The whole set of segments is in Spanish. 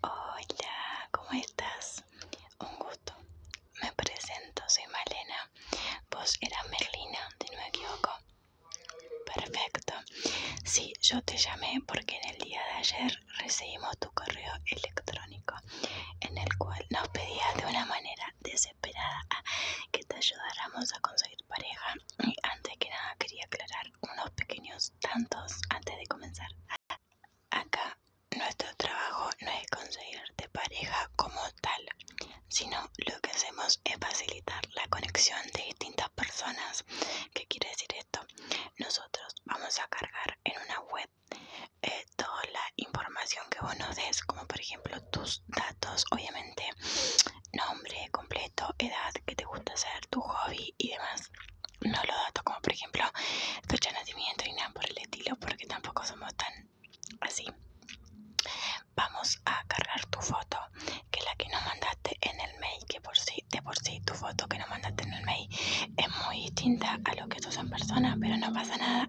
Hola, ¿cómo estás? Un gusto. Me presento, soy Malena. Vos eras Merlina, si no me equivoco. Perfecto. Sí, yo te llamé porque en el día de ayer recibimos tu correo electrónico en el cual nos pedías de una manera desesperada que te ayudáramos a conseguir pareja. Y antes que nada quería aclarar unos pequeños tantos antes de comenzar. Acá nuestro trabajo no es conseguirte pareja como tal, sino lo que hacemos es facilitar la conexión de distintas personas. ¿Qué quiere decir esto? Nosotros vamos a cargar en una web eh, toda la información que vos nos des, como por ejemplo tus datos, obviamente nombre completo, edad, que te gusta hacer, tu hobby y demás no lo dato como por ejemplo fecha de nacimiento y nada por el estilo porque tampoco somos tan así vamos a cargar tu foto que la que nos mandaste en el mail que por si de por sí tu foto que nos mandaste en el mail es muy distinta a lo que tú en persona pero no pasa nada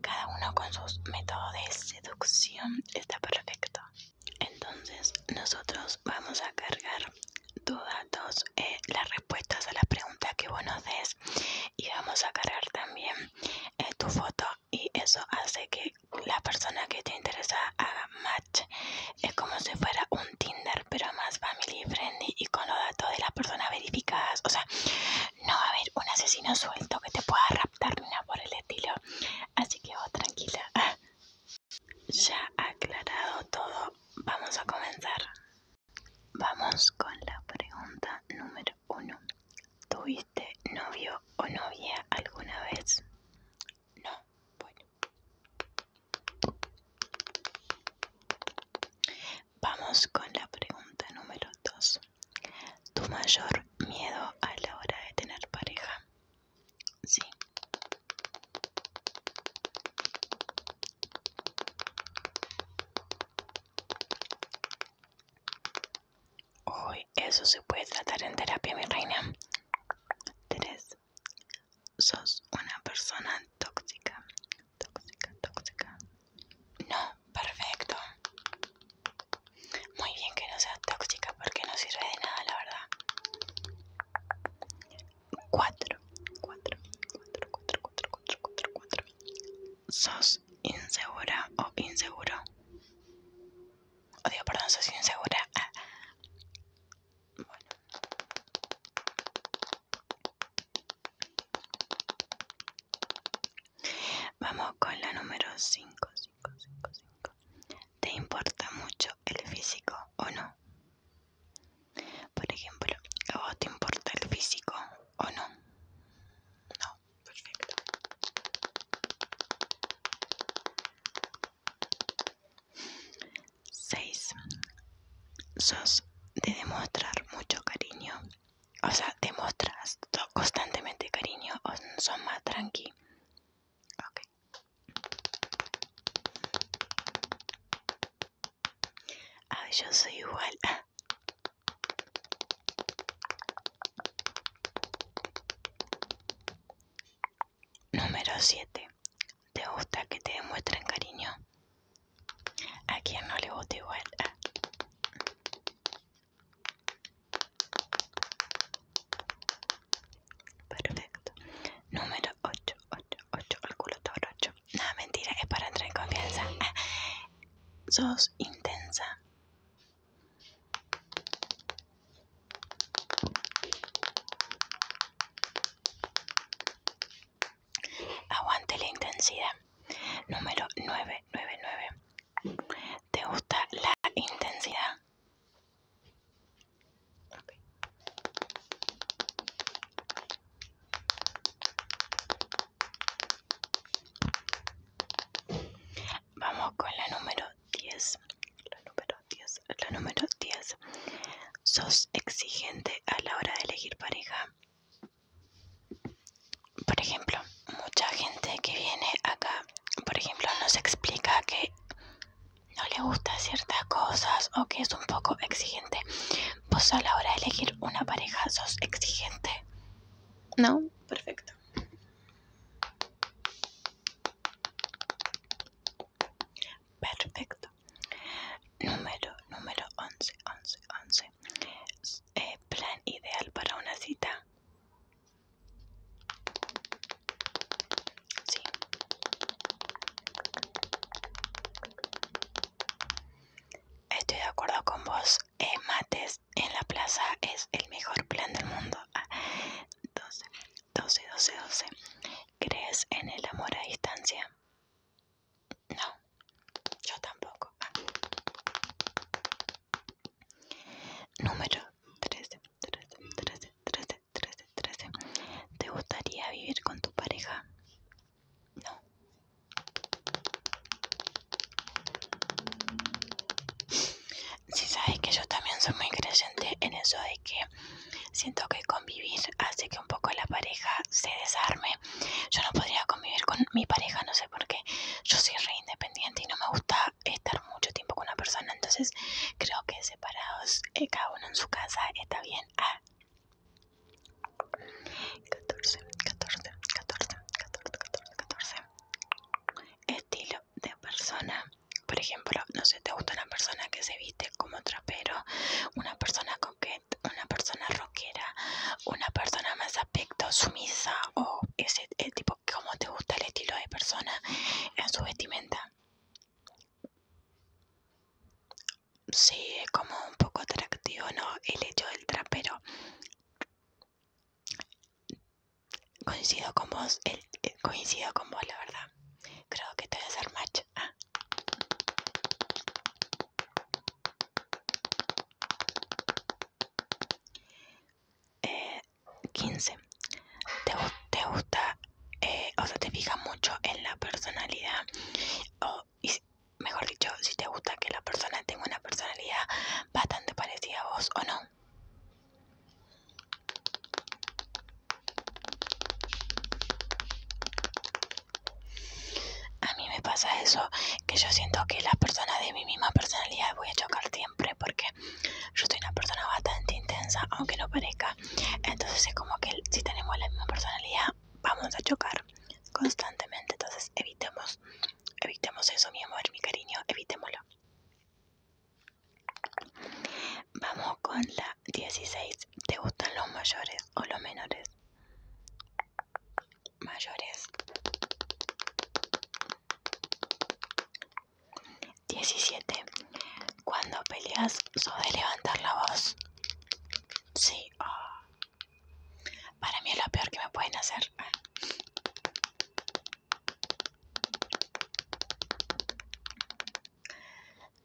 cada uno con sus métodos de seducción está perfecto entonces nosotros vamos a cargar tus datos, eh, las respuestas a las preguntas que vos nos des y vamos a cargar también eh, tu foto y eso hace que la persona que te interesa haga match. Es como si fuera un Tinder pero más family friendly y con los datos de las personas verificadas. O sea, no va a haber un asesino suelto que te pueda raptar ni nada por el estilo. Así que vos tranquila. Ya aclarado todo, vamos a comenzar. Vamos con la pregunta número uno. ¿Tuviste novio o novia alguna vez? No, bueno. Vamos con la pregunta número dos. ¿Tu mayor miedo a la hora de tener pareja? Sí. Uy, eso se puede tratar en terapia, mi reina. 3. Sos una persona tóxica. Tóxica, tóxica. No, perfecto. Muy bien que no seas tóxica porque no sirve de nada, la verdad. 4 4 4 4 4 4 4 4 sos insegura o inseguro o digo perdón sos insegura ah. bueno Vamos con la número 5, 5, 5, 5. ¿Te importa mucho el físico o no? Por ejemplo, ¿a vos te importa el físico o no? No, perfecto. Seis. Sos de demostrar mucho cariño. O sea, demostras constantemente cariño o son más tranqui. Ok. Ah, yo soy igual. Número 7. ¿Te gusta que te demuestren cariño? ¿A quien no le gusta igual? Ah. Perfecto. Número 8, 8, 8, el culo toro 8. No, mentira, es para entrar en confianza. sos intensa. Aguante la intensidad. Número 9, 9, 9. ¿Te gusta la intensidad? Vamos con la número 10. La número 10. La número 10. ¿Sos exigente a la hora de elegir pareja? Por ejemplo, mucha gente que viene acá, por ejemplo, nos explica que no le gusta ciertas cosas o que es un poco exigente. Pues a la hora de elegir una pareja sos exigente. ¿No? Perfecto. Perfecto. Número, número 11, 11, 11. plan ideal para una cita. Sí. Estoy de acuerdo con vos. Eh, mates en la plaza es el mejor plan del mundo. 12, 12, 12, 12. ¿Crees en el amor a distancia? No, yo tampoco. Ah. Número 13, 13, 13, 13, 13, 13, ¿Te gustaría vivir con tu pareja? No. Si sabes que yo también soy muy creyente en eso de que siento que convivir hace que un poco la pareja se desarme. Yo no podría convivir con mi pareja, no sé por qué. Yo soy re independiente y no me gusta estar mucho tiempo con una persona. Entonces creo que separados eh, cada uno en su casa está bien. Ah, 14, 14, 14, 14, 14, 14. Estilo de persona. Por ejemplo, no sé, te gusta una persona que se viste como trapero, una persona coqueta, una persona rockera, una persona más aspecto sumisa o ese eh, tipo, ¿cómo te gusta el estilo de persona en su vestimenta? Sí, es como un poco atractivo, ¿no? El hecho del trapero. Coincido con vos, el, eh, coincido con vos, la verdad. Creo que te voy a hacer match. 15. Ah. Eh, ¿Te gusta eh, o sea, te fija mucho en la personalidad, o mejor dicho, si te gusta que la persona tenga una personalidad bastante parecida a vos o no. A mí me pasa eso, que yo siento que las personas de mi misma personalidad voy a chocar siempre porque yo soy una persona bastante intensa, aunque no parezca. Entonces es como que si tenemos la misma personalidad, vamos a chocar constantemente. Entonces evitemos, evitemos eso, mi amor, mi cariño, evitémoslo. Vamos con la 16. ¿Te gustan los mayores o los menores? Mayores. 17. Cuando peleas, sobre levantar la voz. Sí. Oh. Para mí es lo peor que me pueden hacer.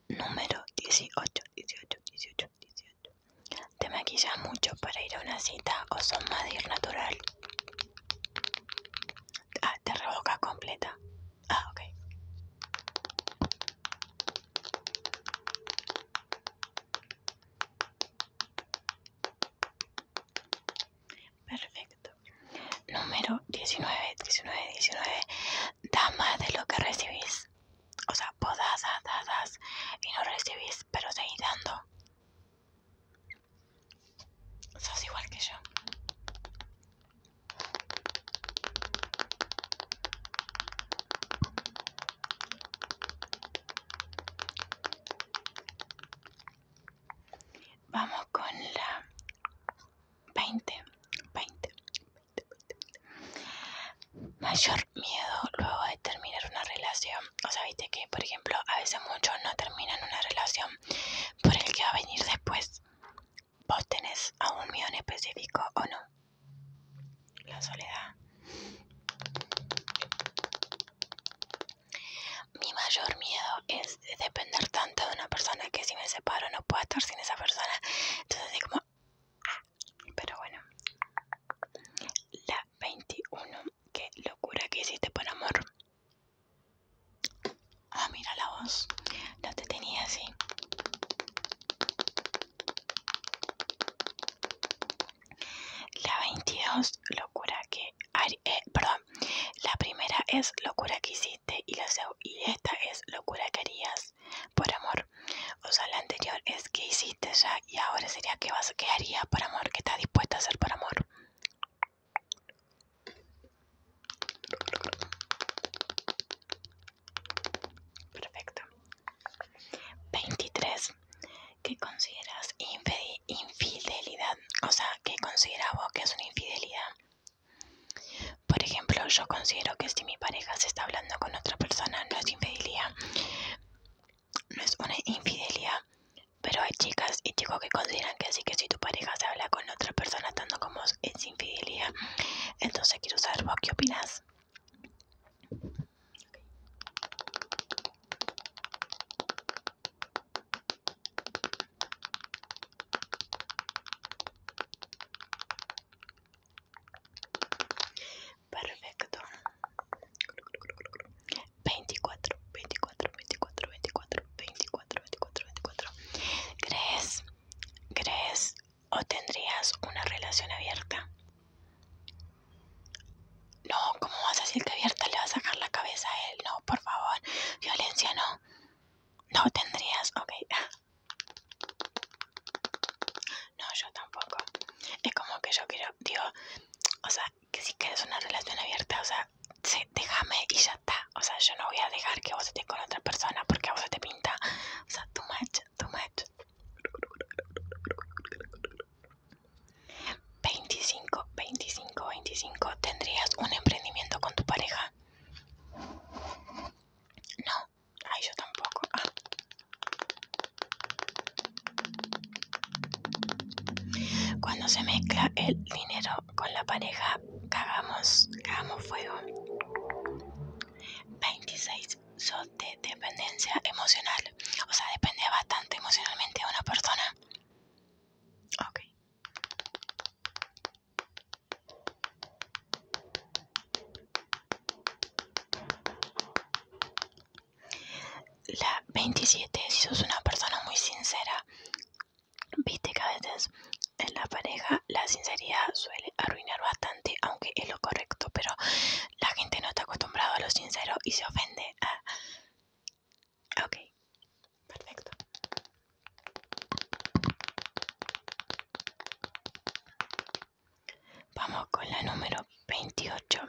Número 18, 18, 18, 18. ¿Te maquillas mucho para ir a una cita o son más de ir natural? Ah, te revocas completa. Ah, ok. Perfecto. Número 19, 19, 19. Da más de lo que recibís. O sea, vos das, y no recibís, pero seguís dando. Sos igual que yo. Vamos con la 20, 20, Mayor miedo luego de terminar una relación. O sea, que, por ejemplo, a veces muchos no terminan una relación por el que va a venir después. ¿Vos tenés a un miedo en específico o no? La soledad. Mi mayor miedo es depender tanto de una persona que si me separo no puedo estar sin esa persona. Entonces es como... Pero bueno. La 21. Qué locura que hiciste por amor. Ah, mira la voz. No te tenía así. La 22, locura que... haría eh, perdón, la primera es locura que hiciste y, la, y esta es locura que harías por amor. O sea, la anterior es que hiciste ya y ahora sería que, vas, que harías por amor, que estás dispuesta a hacer por amor. Perfecto. 23. ¿Qué consideras infidelidad? O sea, ¿qué considera vos que es una infidelidad? Por ejemplo, yo considero que si mi pareja se está hablando con otra persona, no es infidelidad. No es una infidelidad. Pero hay chicas y chicos que consideran que así que si tu pareja se habla con otra persona tanto como es infidelidad. Entonces quiero saber vos qué opinas. Perfecto. 24, 24, 24, 24, 24, 24, 24. ¿Crees? ¿Crees? o tendrías una relación abierta. No, ¿cómo vas a decir que abierta le vas a sacar la cabeza a él? No, por favor, violencia no. No tendrías, ok. No, yo tampoco. Es como que yo quiero, digo, o sea, que si quieres una relación abierta, o sea, déjame y ya está. O sea, yo no voy a dejar que vos estés con otra persona porque a vos te pinta. O sea, too much, too much. 25, 25, 25. ¿Tendrías un emprendimiento con tu pareja? No, ay, yo tampoco. Ah. Cuando se mezcla el dinero con la pareja, cagamos, cagamos fuego. 26, de dependencia emocional. O sea, depende bastante emocionalmente de una persona. Ok. La 27, si sos una persona muy sincera, viste que a veces en la pareja la sinceridad suele arruinar bastante aunque es lo correcto, pero la gente no está acostumbrada a lo sincero y se ofende. a. Ok, perfecto. Vamos con la número 28.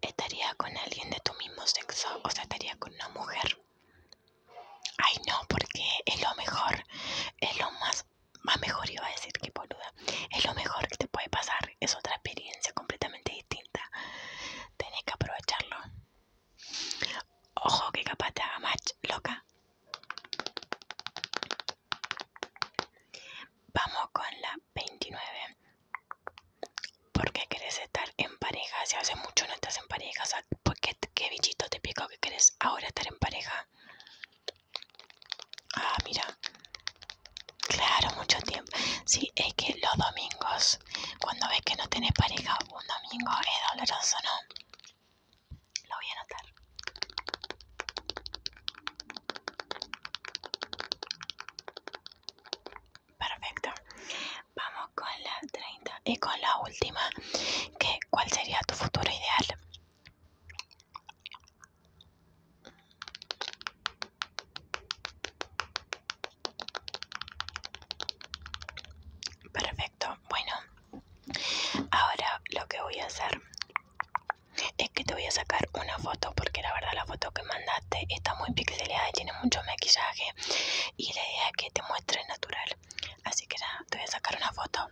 Estaría con alguien de tu mismo sexo, o sea, estaría con una mujer. Ay, no, porque es lo mejor, es lo más más mejor, iba a decir que boluda. Es lo mejor que te puede pasar. Es otra experiencia completamente distinta. Tenés que aprovecharlo. Ojo que capaz te haga match, loca. Vamos con la 29. ¿Por qué querés estar en pareja? Si hace mucho no estás en pareja, o qué, qué bichito te pico que querés ahora estar en pareja? Ah, mira. Claro, mucho tiempo. Sí, es que los domingos, cuando ves que no tienes pareja, un domingo es doloroso, ¿no? Lo voy a anotar. Perfecto. Vamos con la 30 y con la última, que ¿cuál sería tu futuro ideal? Perfecto, bueno, ahora lo que voy a hacer es que te voy a sacar una foto porque la verdad la foto que mandaste está muy pixelada y tiene mucho maquillaje y la idea es que te muestre natural, así que nada, te voy a sacar una foto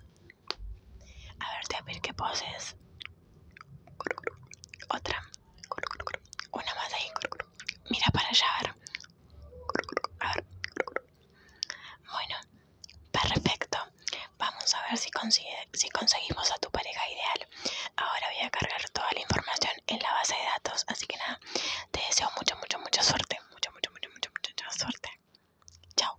a ver, te voy a que poses. Otra. Una más ahí. Mira para allá, a ver. Bueno, perfecto. Vamos a ver si, conseguimos a tu pareja ideal. Ahora voy a cargar toda la información en la base de datos. Así que nada, te deseo mucho mucho mucha suerte. mucho mucho mucho mucho mucha, mucha suerte. Chao.